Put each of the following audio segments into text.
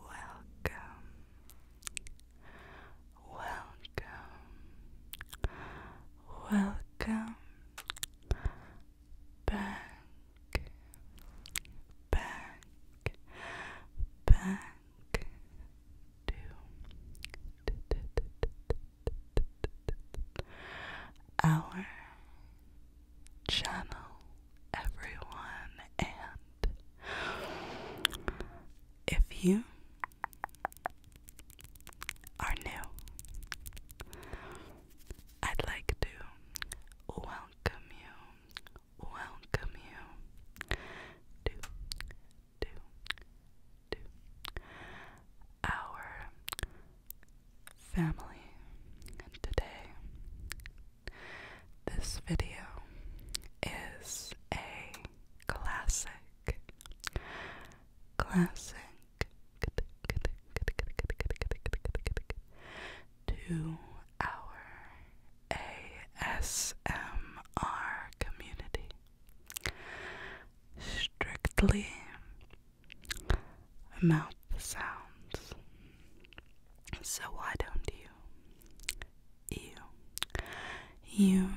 Welcome, welcome, welcome back, back, back to. Our channel, everyone, and if you are new, I'd like to welcome you, welcome you to, to, to our family, and today this video is a classic, classic two-hour ASMR community. Strictly mouth sounds. So why don't you, you, you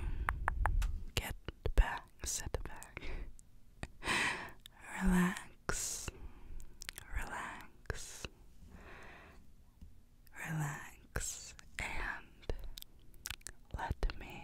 get back, sit back, relax, relax, relax, and let me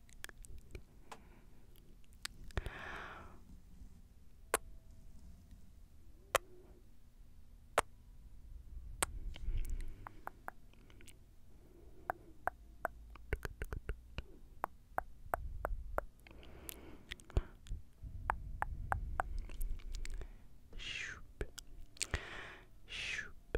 Shoop, shoop,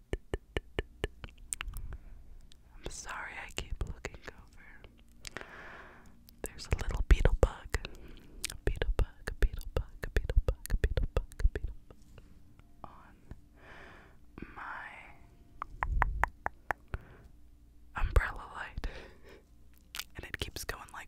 I'm sorry I keep looking over. There's a little beetle bug. A beetle bug, a beetle bug, a beetle bug, a beetle bug, a beetle bug. On my umbrella light. and it keeps going like.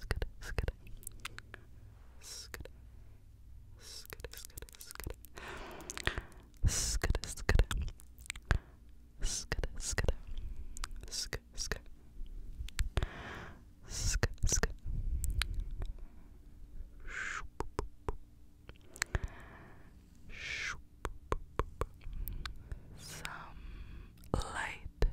skid, skid, skid, skid, skid, skid, skid, skid, skid, skid, skid, skid, skid, some light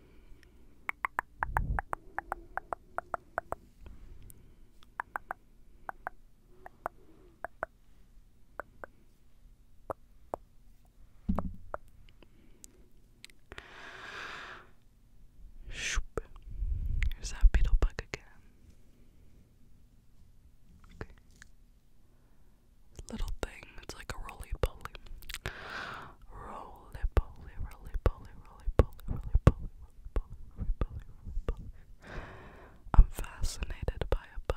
Shoop. There's that beetle bug again. Little thing, it's like a roly poly. Roly poly, roly poly, roly poly, roly poly, roly poly, roly poly, roly I'm fascinated by a bug.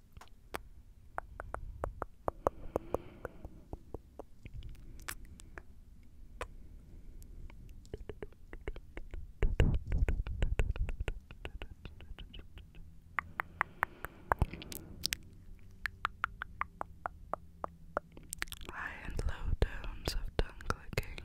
High and low tones of tongue clicking.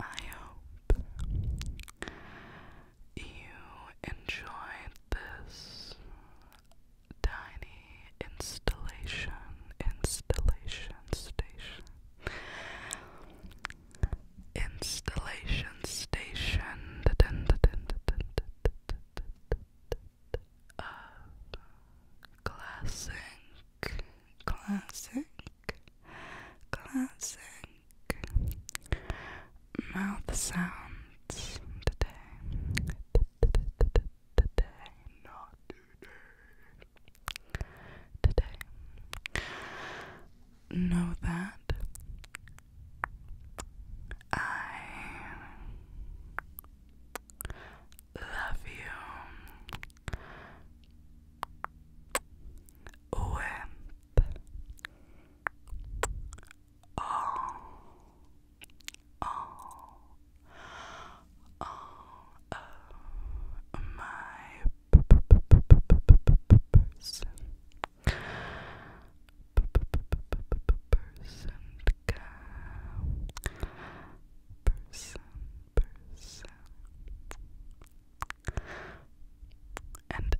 I hope you enjoyed this tiny installation, installation station, installation station of classic, classic, classic mouth sounds today. Today, not today. Today. Know that I Love you. Wimp. all oh. of oh. oh. my person, person, person, person. And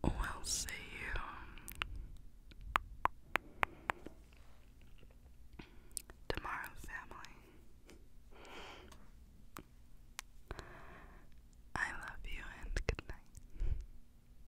I will see you tomorrow, family. I love you and good night.